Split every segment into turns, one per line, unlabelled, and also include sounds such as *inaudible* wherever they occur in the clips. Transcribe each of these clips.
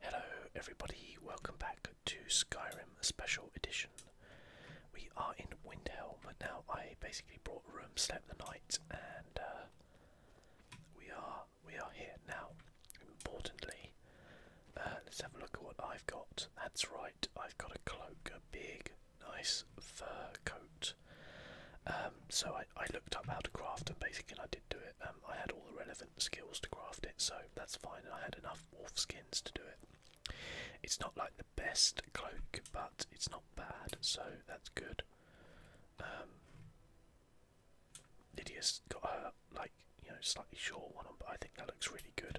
Hello, everybody, welcome back to Skyrim Special Edition. We are in Windhelm now. I basically brought a room, slept the night, and uh, we are we are here now. Importantly, uh, let's have a look at what I've got. That's right, I've got a cloak, a big, nice fur coat. Um, so I, looked up how to craft and basically, I did do it. Um, I had all the relevant skills to craft it, so that's fine. I had enough wolf skins to do it. It's not like the best cloak, but it's not bad, so that's good. Um, Lydia's got her like you know slightly short one but I think that looks really good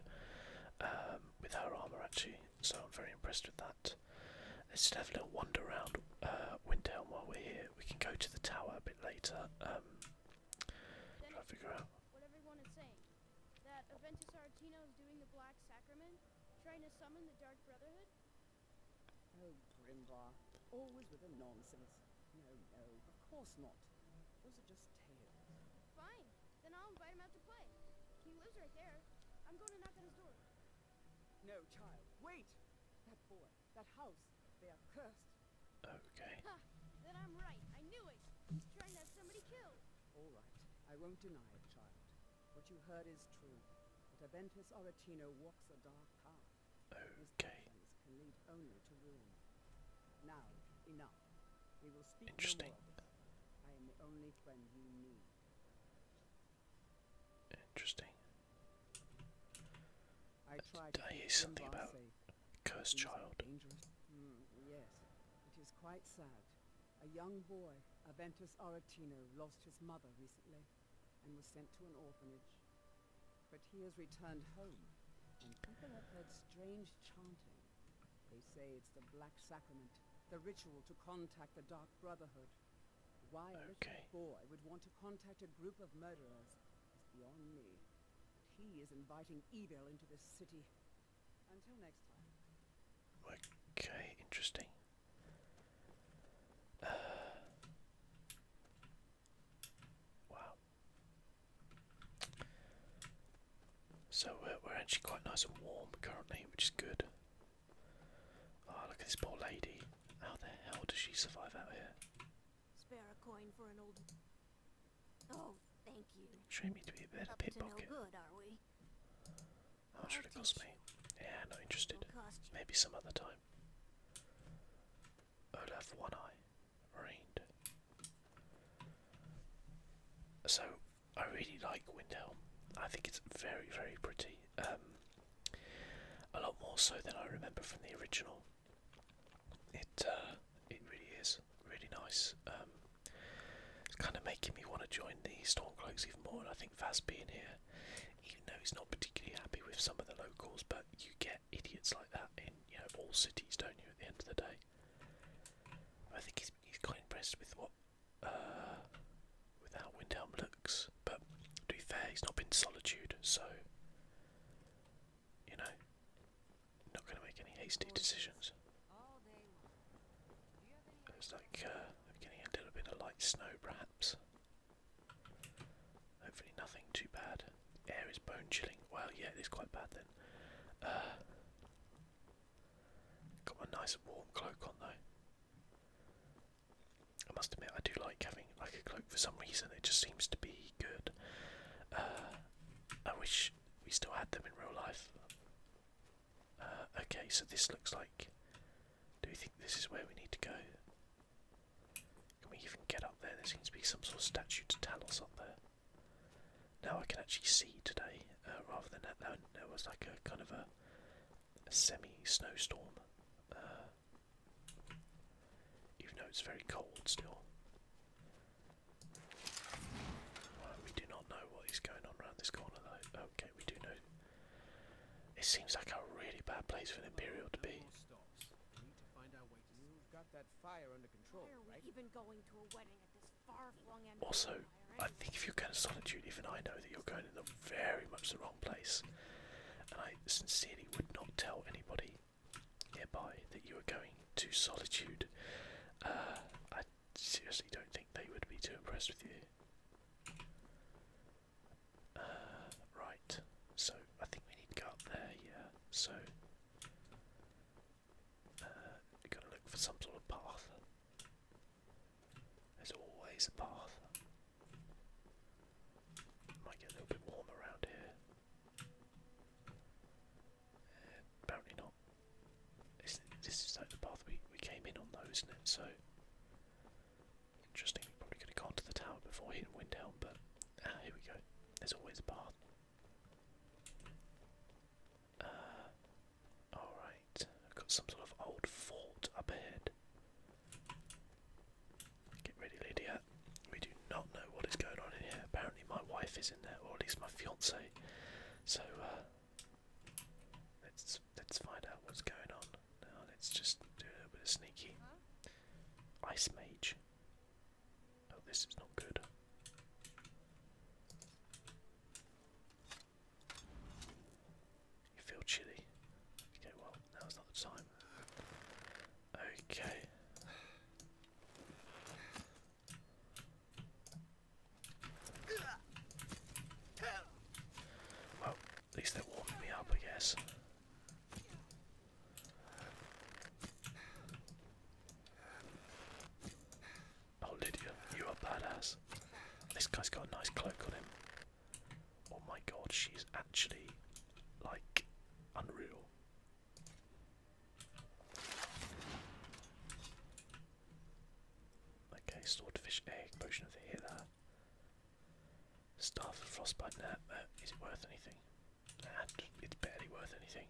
um, with her armor actually. So I'm very impressed with that. Let's just have a little wander around uh, Windhelm while we're here. We can go to the tower a bit later. I'll figure out
what everyone is saying. That Aventus Artino is doing the Black Sacrament, trying to summon the Dark Brotherhood. Oh, Grimbar, always with the nonsense. No, no, of course not. Those are just tales. Fine, then I'll invite him out to play. He lives right there. I'm going to knock on his door. No, child, wait! That boy, that house, they are cursed. Okay. then I'm right. I knew it. trying to have somebody killed. All right. I won't deny it, child. What you heard is true. But Aventus Oratino walks a dark path. Okay. His can lead only to ruin. Now, enough. We will speak Interesting. No I am the only friend you need. Interesting. I hear something about a
cursed child?
Mm, yes, it is quite sad. A young boy, Aventus Aretino, lost his mother recently and was sent to an orphanage. But he has returned home, and people have heard strange chanting. They say it's the Black Sacrament, the ritual to contact the Dark Brotherhood. Why a rich boy would want to contact a group of murderers he is inviting evil into this city.
Until next time. Okay, interesting. Uh, wow. So uh, we're actually quite nice and warm currently, which is good. Oh, look at this poor lady. How the hell does she survive out here?
Spare a coin for an old. Oh, thank you. Train
me to be a better pickpocket.
No good, are we? How cost me?
Yeah, not interested. Maybe some other time. Olaf One Eye, reigned. So, I really like Windhelm. I think it's very, very pretty. Um, a lot more so than I remember from the original. It uh, it really is really nice. Um, it's kind of making me want to join the Stormcloaks even more, and I think Vaz being here, even though he's not particularly happy with some of the locals, but you get idiots like that in you know all cities, don't you? At the end of the day, I think he's he's quite impressed with what uh, with how Windhelm looks, but to be fair, he's not been solitude, so you know, not going to make any hasty decisions. It's like uh, getting a little bit of light snow, perhaps. Hopefully, nothing too bad. Air is bone chilling. Well, yeah, it is quite bad then. Uh, got my nice warm cloak on though. I must admit, I do like having like a cloak for some reason. It just seems to be good. Uh, I wish we still had them in real life. Uh, okay, so this looks like. Do you think this is where we need to go? Can we even get up there? There seems to be some sort of statue to Talos up there. Now I can actually see today, uh, rather than that, there was like a kind of a, semi snowstorm. Even though it's very cold still. we do not know what is going on around this corner though. Okay, we do know. It seems like a really bad place for an Imperial to be. Also, I think if you're going to Solitude, even I know that you're going to the very much the wrong place. And I sincerely would not tell anybody nearby that you are going to Solitude, uh, I seriously don't think they would be too impressed with you. Uh, right, so I think we need to go up there, yeah, so uh, you going to look for some sort of path. There's always a path. Might get a little bit warm around here apparently not. This, is like the path we, we came in on though, isn't it? So interesting. Probably could have gone to the tower before hitting Windhelm, but ah, here we go. There's always a path. Uh, alright, I've got some sort of old fort up ahead. Get ready, Lydia. Uh, we do not know what is going on in here. Apparently, my wife is in there, or at least my fiance. So uh, let's let's find out what's going on. Now let's just do a little bit of sneaky. Ice mage. Oh, this is not good. You feel chilly. Okay, well, now's not the time. Okay. Well, at least they're me up, I guess. Oh, Lydia, you are badass. This guy's got a nice cloak on him. Oh my god, she's actually like unreal. Okay, swordfish egg, potion of the healer. Staff and frostbite nap. Uh, is it worth anything? it's barely worth anything.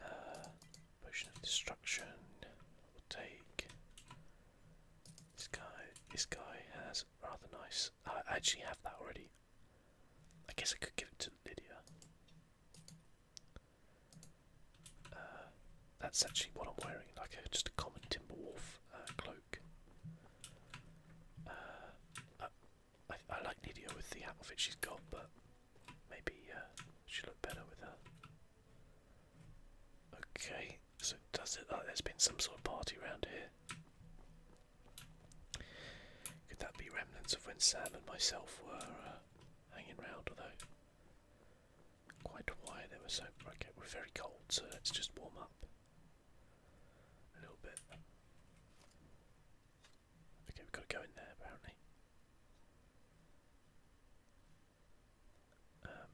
Uh, of destruction. take. This guy. This guy has rather nice. I actually have that already. I guess I could give it to Lydia. Uh, that's actually what I'm wearing, like a, just a common Timberwolf uh, cloak. Uh, I, like Lydia with the outfit she's got, but maybe uh, she'll look better with her. Okay, so does it? like oh, there's been some sort of party around here. Could that be remnants of when Sam and myself were uh, hanging round? Although, quite a why they were so. Okay, we're very cold, so let's just warm up a little bit. Okay, we've got to go in there apparently. Um,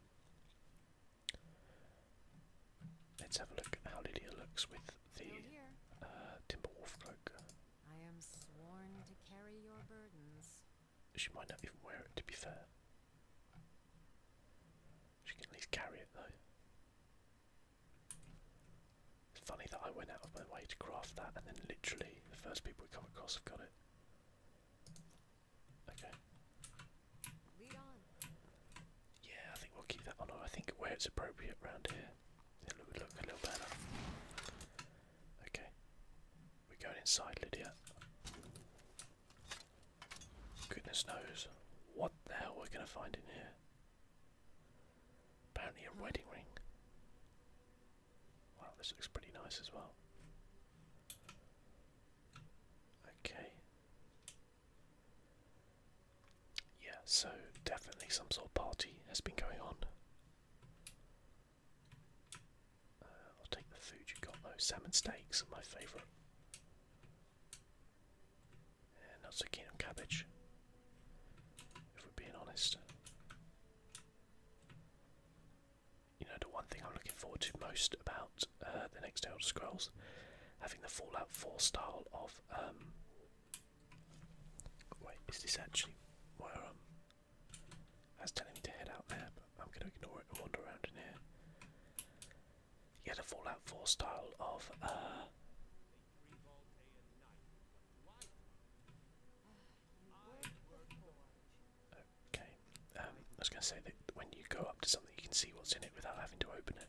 Let's have a look at how Lydia looks with the uh, timber wolf
cloak. I am sworn to carry your burdens.
She might not even wear it, to be fair. She can at least carry it, though. It's funny that I went out of my way to craft that, and then literally the first people we come across have got it. Okay. Yeah, I think we'll keep that on. I think where it's appropriate around here, it'll look a little better. Okay, we're going inside, Lydia. Goodness knows what the hell we're going to find in here. Apparently, a wedding ring. Wow, this looks pretty nice as well. Okay, yeah, so definitely some sort of party has been going on. Uh, I'll take the food you got though. Salmon steaks are my favourite. And not so keen on cabbage, if we're being honest. You know, the one thing I'm looking forward to most about uh, the next Elder Scrolls, having the Fallout 4 style of um, wait, is this actually where I'm? I telling me to head out there, but I'm going to ignore it and wander around in here. Yeah, the Fallout 4 style of. Uh, Okay, um, I was going to say that when you go up to something, you can see what's in it without having to open it.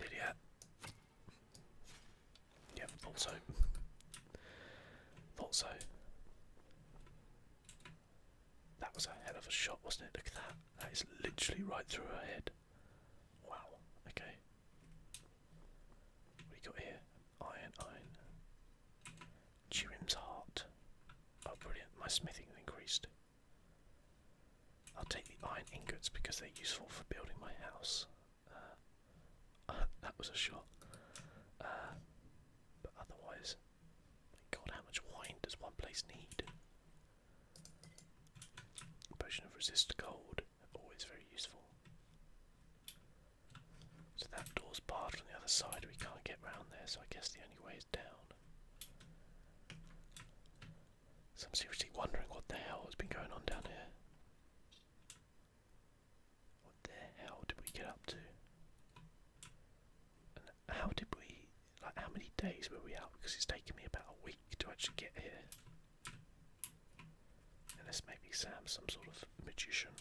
Idiot. Yeah, thought so. Thought so. That was a hell of a shot, wasn't it? Look at that. That is literally right through her head. Wow. Okay. What do you got here? Iron, iron. Chirim's heart. Oh, brilliant. My smithing increased. I'll take the iron ingots because they're useful for building my house. Uh, *laughs* that was a shot. Uh, but otherwise, god, how much wine does one place need? Potion of resist cold, always very useful. So that door's barred on the other side, we can't get round there, so I guess the only way is down. So I'm seriously wondering what the hell has been going on down here. What the hell did we get up to? And how did we, like how many days were we out? Because it's taken me about a week to actually get here. And this may be Sam, some sort of magician.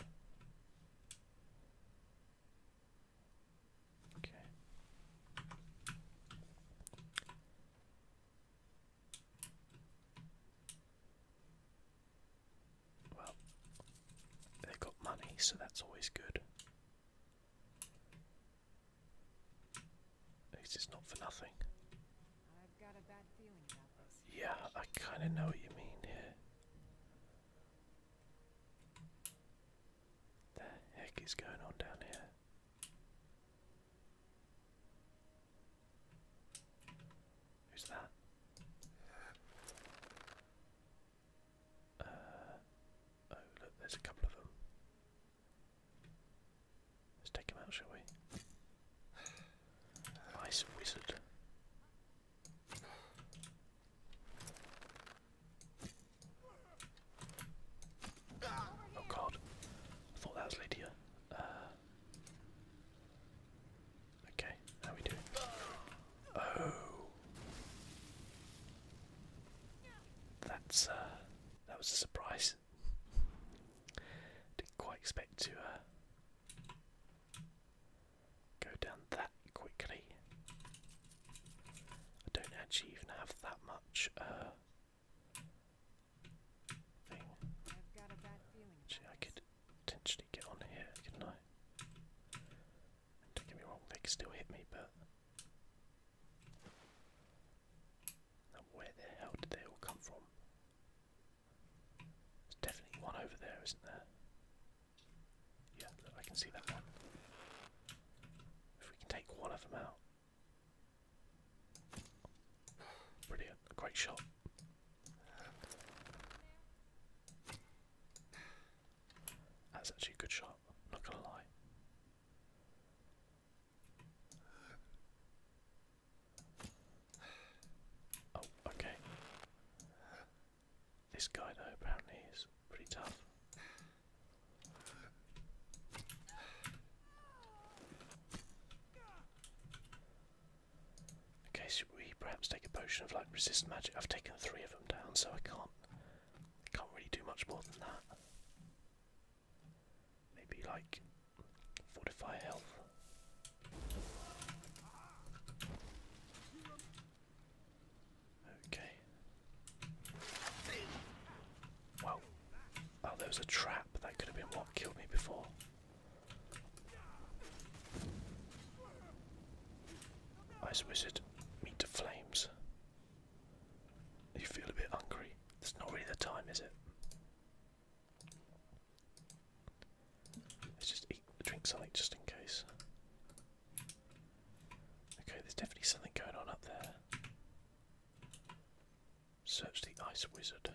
Okay. Well, they got money, so that's always good. At least not for nothing. Yeah, I kind of know what you mean here. What The heck is going on down here? Who's that? Uh, oh, look, there's a couple of them. Let's take him out, shall we? Ice Wizard. Oh god. thought that was Lydia. Uh, okay, how we doing? Oh. That's, uh, that was a surprise. Didn't quite expect to, uh, Go down that quickly. I don't actually even have that much uh, thing. actually, I could potentially get on here, couldn't I? don't get me wrong, they can still hit me, but where the hell did they all come from? There's definitely one over there, isn't there? Yeah, I can see that one. If we can take one of them out. Brilliant, a great shot. That's actually a good shot, not gonna lie. Oh, okay. This guy, though, apparently is pretty tough. Okay, should we perhaps take a potion of like resist magic? I've taken three of them down, so I can't can't really do much more than that. Maybe like fortify health. Okay. Well, oh, there was a trap. That could have been what killed me before. Ice Wizard, meet the flames. You feel a bit hungry. It's not really the time, is it? Let's just eat, drink something just in case. Okay, there's definitely something going on up there. Search the ice wizard.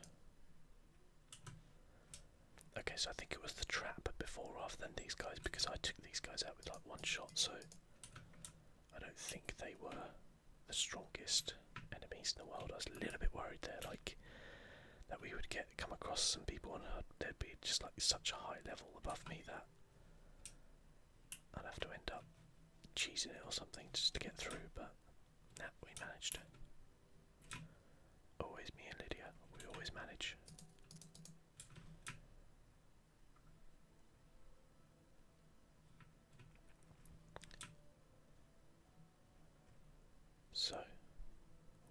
Okay, so I think it was the trap before rather than these guys because I took these guys out with like one shot, so I don't think they were the strongest enemies in the world. I was a little bit worried there, like that we would get come across some people and they'd be just like such a high level above me that I'd have to end up cheesing it or something just to get through, but nah, we managed it. Always me and Lydia, we always manage. So,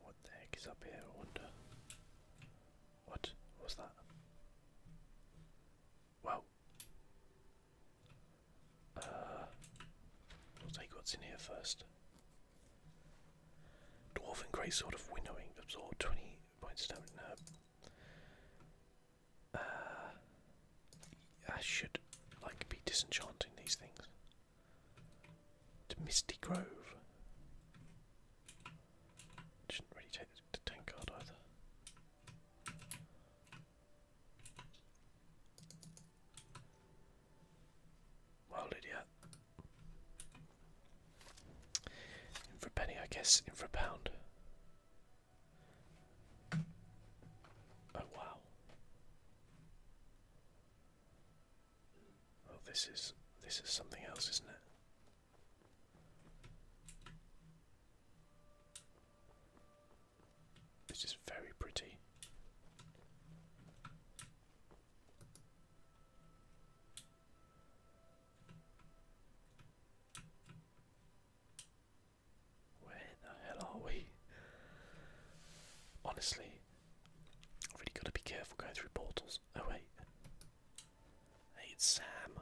what the heck is up here? I wonder. What was that? Well, uh, we take what's in here first. Dwarven Grey sort of Winnowing, absorb 20 points of damage. No. Uh, I should, like, to be disenchanting these things to Misty Grove. Shouldn't really take the, the either. Well, Lydia. In for a penny, I guess. In for a pound. Oh wow. Oh, this is this is something else, isn't it? This is very pretty. Where the hell are we? Honestly, I've really got to be careful going through portals. Oh wait. Hey, Sam.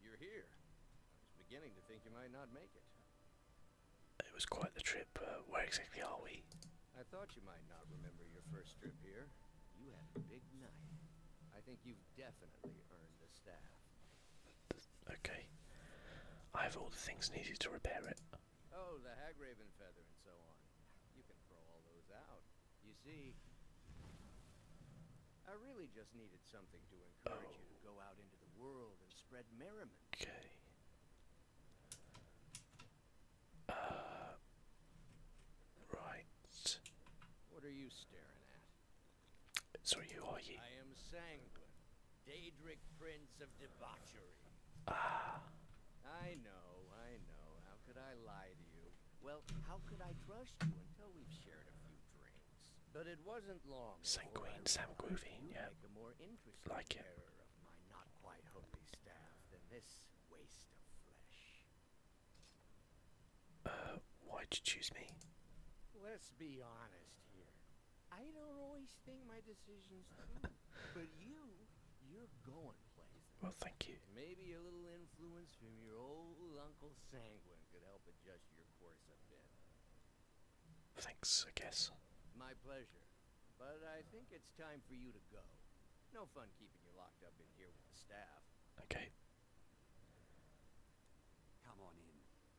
You're here. I
was beginning to think you might not make it. It was quite the trip. where exactly are we? I thought you might not remember your first trip here. You had a big night. I think you've definitely earned the staff. Okay.
I have all the things needed to repair it.
Oh, the Hagraven feather and so on. You can throw all those out. You see, I really just needed something to encourage you to go out into the world and spread merriment. Okay. Uh, right. What are you staring at?
Sorry, who are you? I
am sanguine. Daedric Prince of Debauchery. Ah. I know, I know. How could I lie to you? Well, how could I trust you until we've shared a few drinks? But it wasn't long. Sanguine sanguine. yeah. like it.
Uh, why'd you choose me? Let's be honest here.
I don't always think my decisions through, *laughs* but you, you're going places. Well, thank you. Maybe a little influence from your old Uncle Sanguine could help adjust your course a bit. Thanks, I guess. My pleasure. But I think it's time for you to go. No fun keeping you locked up in here with the staff. Okay. Come on in.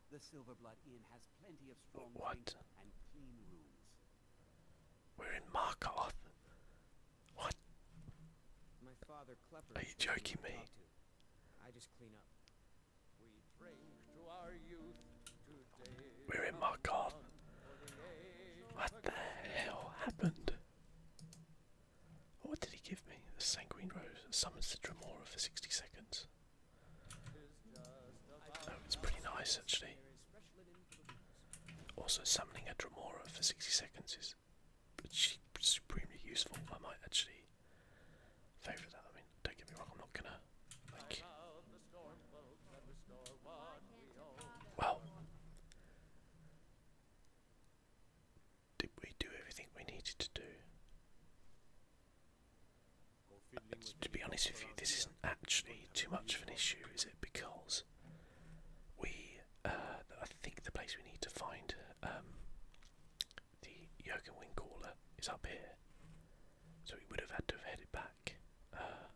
The Silverblood Inn has plenty of strong what? and clean
rooms. We're in Markarth. What?
My father Are you joking me?
We are in Markarth. What the hell happened? What did he give me? A sanguine rose summons the Dremora for 60 seconds. That was pretty nice actually. Also summoning a Dromora for 60 seconds is supremely useful. I might actually favour that. I mean, don't get me wrong, I'm not gonna like Well Did we do everything we needed to do? To be honest with you, this isn't actually too much of an issue, is it? Because we, uh, I think the place we need to find um, the Yoken Wing Caller is up here. So we would have had to have headed back. Uh,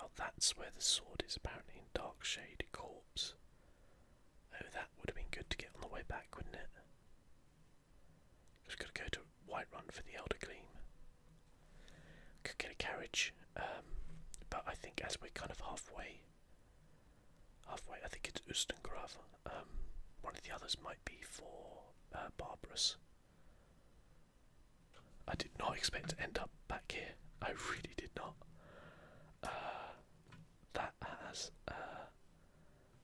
oh, that's where the sword is apparently in Dark Shade Corpse. Oh, that would have been good to get on the way back, wouldn't it? Just gotta go to Whiterun for the Elder Gleam. Could get a carriage, um, but I think as we're kind of halfway, halfway, I think it's Ustengrav. Um, one of the others might be for uh, I did not expect to end up back here. I really did not. Uh, that has uh,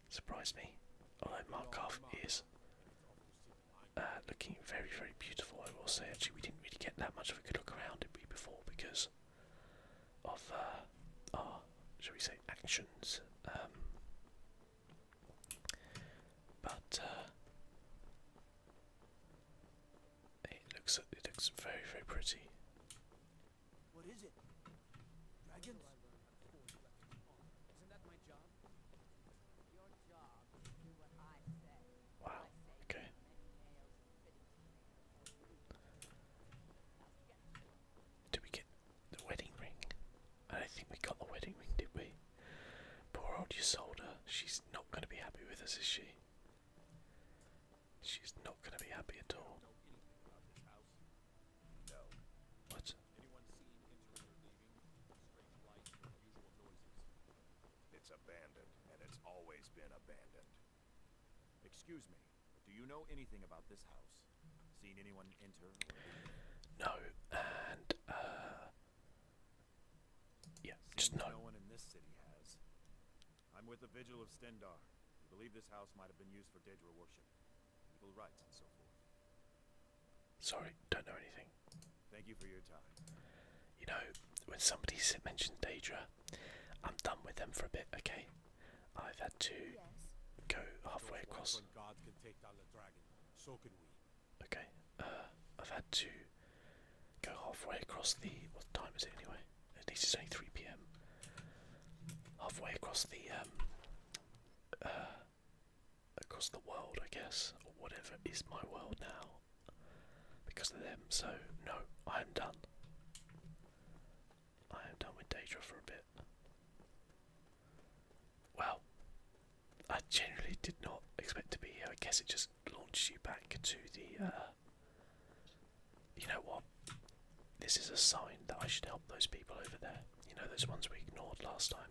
surprised me. Although Markov is uh, looking very, very beautiful. I will say, actually, we didn't really get that much of a good look around, it before, because of uh, our, shall we say, actions. Um, but uh, it looks, it looks very, very pretty. What is it? Dragons? Wow, okay. Did we get the wedding ring? I think we got the wedding ring, did we? Poor old Isolda, she's not going to be happy with us, is she? She's not going to be happy at all. What? It's abandoned, and it's always been abandoned. Excuse me, do you know anything about this house? Seen anyone enter? No, and, uh... Yeah, just no. I'm with the Vigil of Stendar. We believe this house might have been used for Daedra worship, evil rites, and so forth. Sorry, don't know anything. Thank you for your time. You know, when somebody mentioned Daedra, I'm done with them for a bit, okay? I've had to go halfway across. okay, uh, I've had to go halfway across the. What time is it anyway? At least it's only 3 pm. Halfway across the um, uh, across the world, I guess, or whatever is my world now because of them. So, no, I am done. I am done with Daedra for a bit. Well, I generally did not expect to be here. I guess it just launches you back to the. Uh, you know what? This is a sign that I should help those people over there. You know, those ones we ignored last time.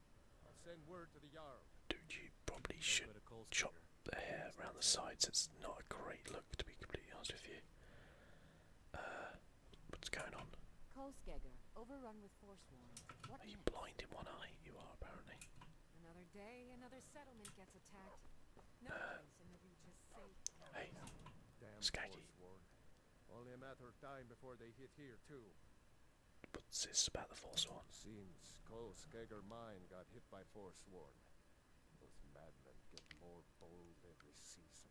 I'll send word to the Jarl. Dude, you probably should chop the hair around the sides. It's not a great look, to be completely honest with you. Uh, what's going on? are you blind in one eye? You are apparently. Uh, hey, Skaggy. Only a matter of time before they hit here too. But this about the Forsworn.
Since Skullskegger mine got hit by Forsworn, those madmen get more bold every season.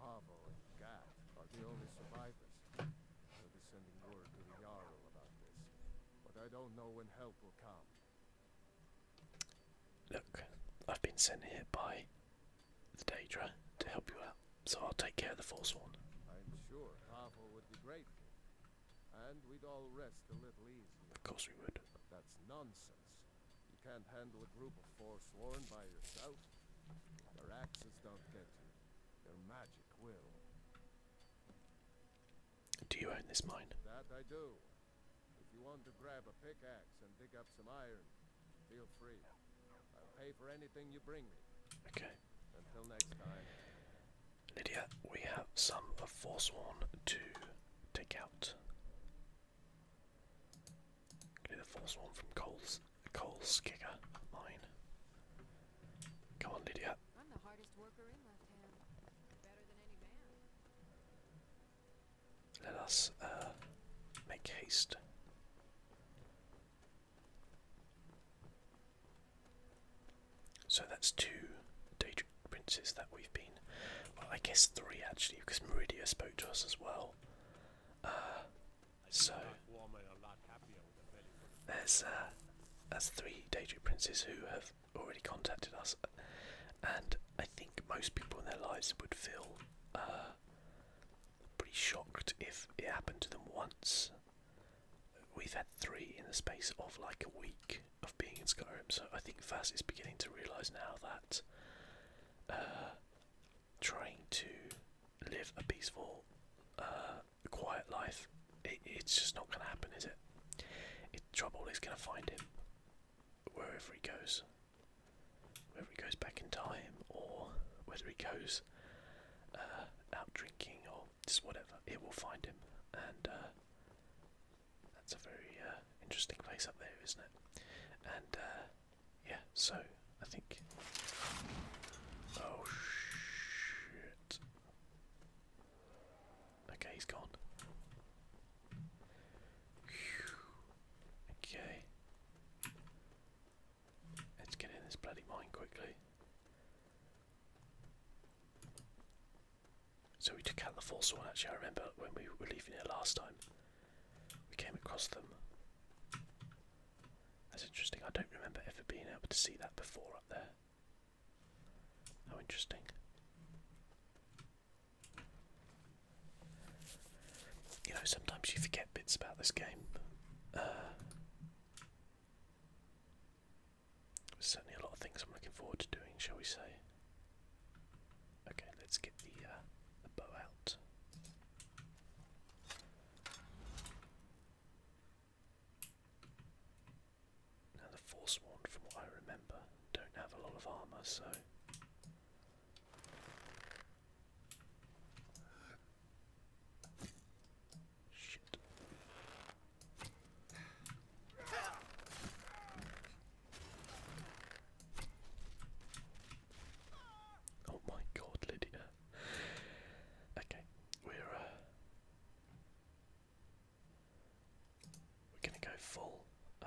Pavo and Gat are the only survivors. They'll be sending word to the Jarl about this, but I don't know when help will come. Look,
I've been sent here by the Daedra to help you out, so I'll take care of the Forsworn. I'm
sure Pavo would be grateful. Of course we would. that's nonsense. You can't handle a group of Forsworn by yourself. Their axes don't get you. Their magic will. Do you own this mine? That I do. If you want to grab a pickaxe and dig up some iron, feel free. I'll pay for anything you bring me.
Okay. Until next time. Lydia, we have some of Forsworn to take out. Do the Forsworn from Cole's Cole's kicker mine. Come on, Lydia. Let us uh, make haste. So that's two Daedric princes that we've been. Well, I guess three actually, because Meridia spoke to us as well. Uh, so there's uh, three Daedric princes who have already contacted us, and I think most people in their lives would feel uh, pretty shocked if it happened to them once. We've had three in the space of like a week of being in Skyrim, so I think Vaz is beginning to realise now that uh, trying to live a peaceful, uh, quiet life, it's just not going to happen, is it? trouble is going to find him wherever he goes. Whether he goes back in time or whether he goes uh, out drinking or just whatever. It will find him, and uh, that's a very uh, interesting place up there, isn't it? And uh, yeah, so I think. Oh shit! Okay, he's gone. Okay. Let's get in this bloody mine quickly. So we took out the false one actually, I remember when we were leaving here last time. We came across them. That's interesting, I don't remember ever being able to see that before up there. How interesting. You know, sometimes you forget bits about this game. Uh, there's certainly a lot of things I'm looking forward to doing, shall we say? Okay, let's get the, uh, bow out. Now the Forsworn, from what I remember, don't have a lot of armour, so... Oh my god, Lydia. Okay, we're uh, we're gonna go full uh,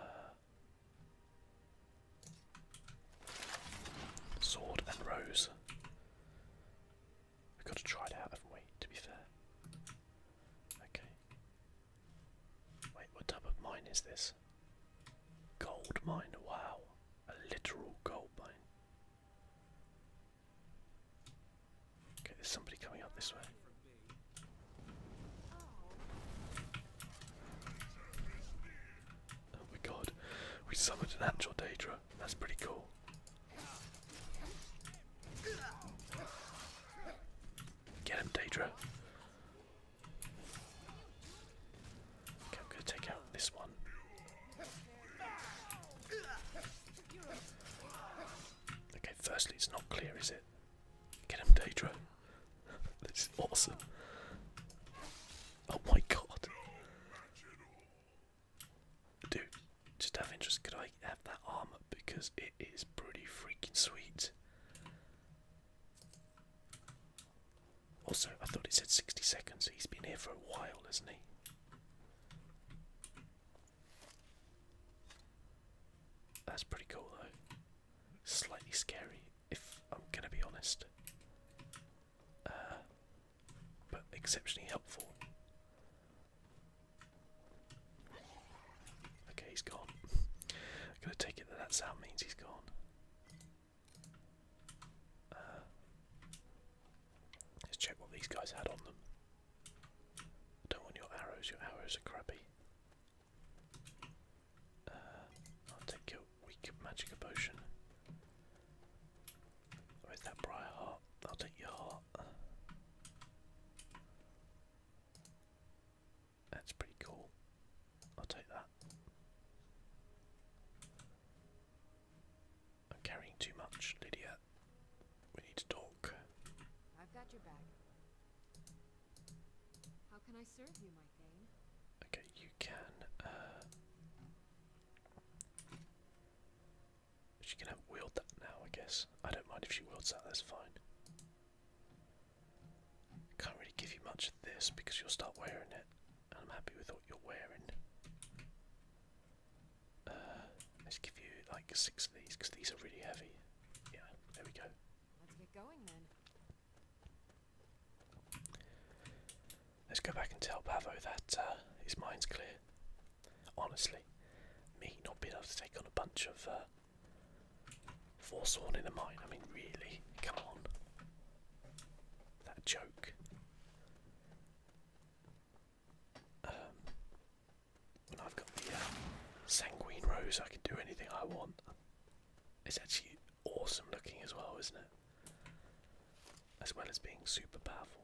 sword and rose. We've got to try it out, haven't we, to be fair? Okay. Wait, what type of mine is this? Gold mine, wow. A literal gold mine. Okay, there's somebody coming up this way. Oh my god, we summoned an actual Daedra. That's pretty cool. Get him, Daedra. Okay, I'm gonna take out this one. Okay, firstly, it's not clear, is it? Get him, Daedra. *laughs* this is awesome. Oh my god. Dude, just out of interest, could I have that armor? Because it is pretty freaking sweet. Also, I thought it said 60 seconds. He's been here for a while, is not he? That's pretty cool, though. Slightly scary, if I'm gonna be honest. Uh, but exceptionally helpful. Okay, he's gone. I'm *laughs* gonna take it that that sound means he's gone. Uh, let's check what these guys had on them. don't want your arrows, your arrows are crappy. Uh, I'll take your weak magic potion. Or that Briar Heart? I'll take your heart. That's pretty cool. I'll take that. I'm carrying too much, Lydia. We need to
talk. I've got your back. How can I serve you, my thane?
Okay, you can. Uh, she can wield that now, I guess. I don't mind if she wields that, that's fine. Can't really give you much of this because you'll start wearing it, and I'm happy with what you're wearing. Uh, let's give you like six of these because these are really heavy. Yeah, there we go.
Let's get going then.
Let's go back and tell Pavo that uh, his mind's clear. Honestly, me not being able to take on a bunch of uh, in a mine. I mean, really, come on. That joke. Um, I've got the uh, sanguine rose. I can do anything I want. It's actually awesome looking as well, isn't it? As well as being super powerful.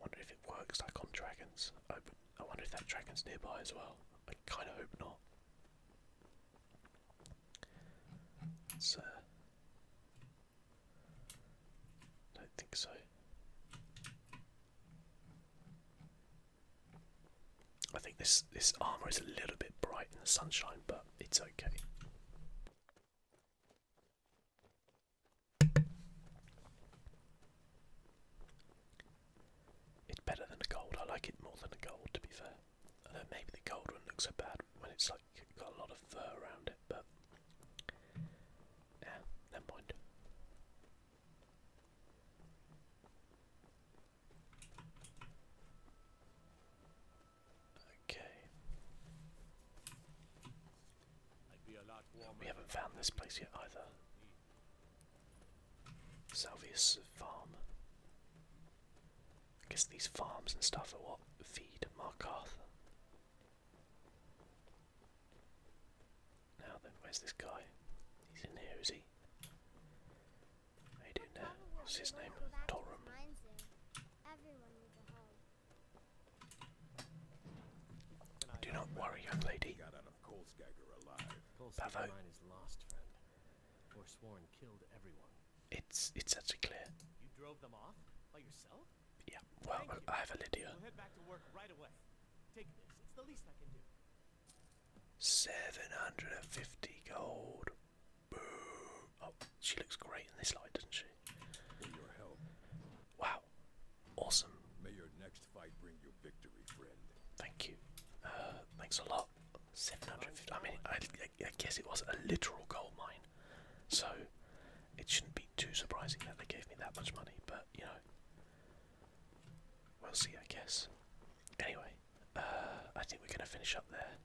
Wonder if it works like on dragons. I, I wonder if that dragon's nearby as well. I kind of hope not. So, uh, don't think so. I think this this armor is a little bit bright in the sunshine, but it's okay. It's better than a gold. I like it more than a gold, to be fair. Although maybe the gold one looks so bad when it's like got a lot of fur around it, but yeah, never mind. Okay. We haven't found this place yet either. Salvius Farm. I guess these farms and stuff are what feed Mark Arthur. Now then, where's this guy? He's in here, is he? How you there? What's his name? Torum. Do not worry, young lady. Got
out of Kolskagger alive. Kolskagger mine is lost, friend.
It's such a clear. You drove them off by yourself? Yeah. Well, I have a Lydia. 750 gold. Oh, she looks great in this light, doesn't she? Wow. Awesome. May your next fight bring you victory, friend. Thank you. Uh, thanks a lot. 750. I mean, I, guess it was a literal gold mine, so it shouldn't be too surprising that they gave me that much money, but you know, we'll see, I guess. Anyway, uh, I think we're going to finish up there.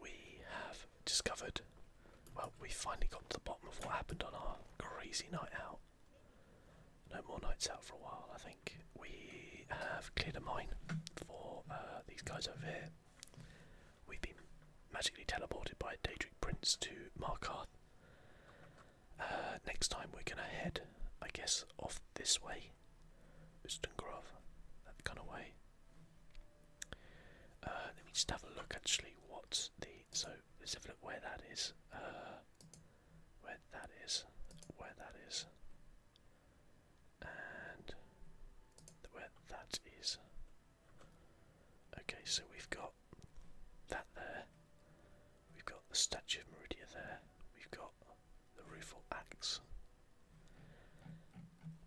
We have discovered well, we finally got to the bottom of what happened on our crazy night out. No more nights out for a while, I think. We have cleared a mine for uh, these guys over here. We've been magically teleported by a Daedric Prince to Markarth. Uh, next time we're gonna head, I guess, off this way. Ustengrov, that kind of way. Uh, let me just have a look actually what the. So let's have a look where that is. Uh, where that is, where that is, and where that is. Okay, so we've got that there. We've got the statue of Meridia there. We've got the rueful axe.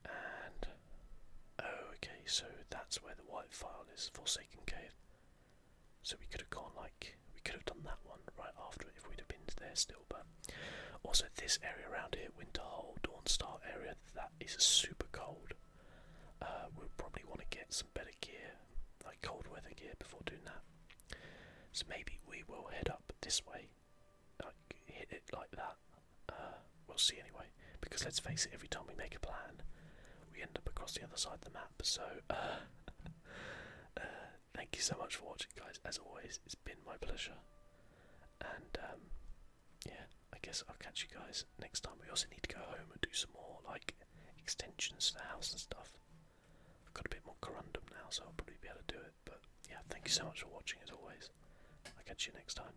And oh, okay, so that's where the white file is. For Cave. So we could have gone like we could have done that one right after it if we'd have been there still. But also this area around here, winter Winterhold, Dawnstar area, that is super cold. Uh, we'll probably want to get some better gear, like cold weather gear, before doing that. So maybe we will head up this way, like hit it like that. Uh, we'll see anyway. Because let's face it, every time we make a plan, we end up across the other side of the map. So, uh, *laughs* uh, thank you so much for watching, guys. As always, it's been my pleasure. And, um, yeah, I guess I'll catch you guys next time. We also need to go home and do some more, like, extensions to the house and stuff. I've got a bit more corundum now, so I'll probably be able to do it. But, yeah, thank you so much for watching, as always. I'll catch you next time.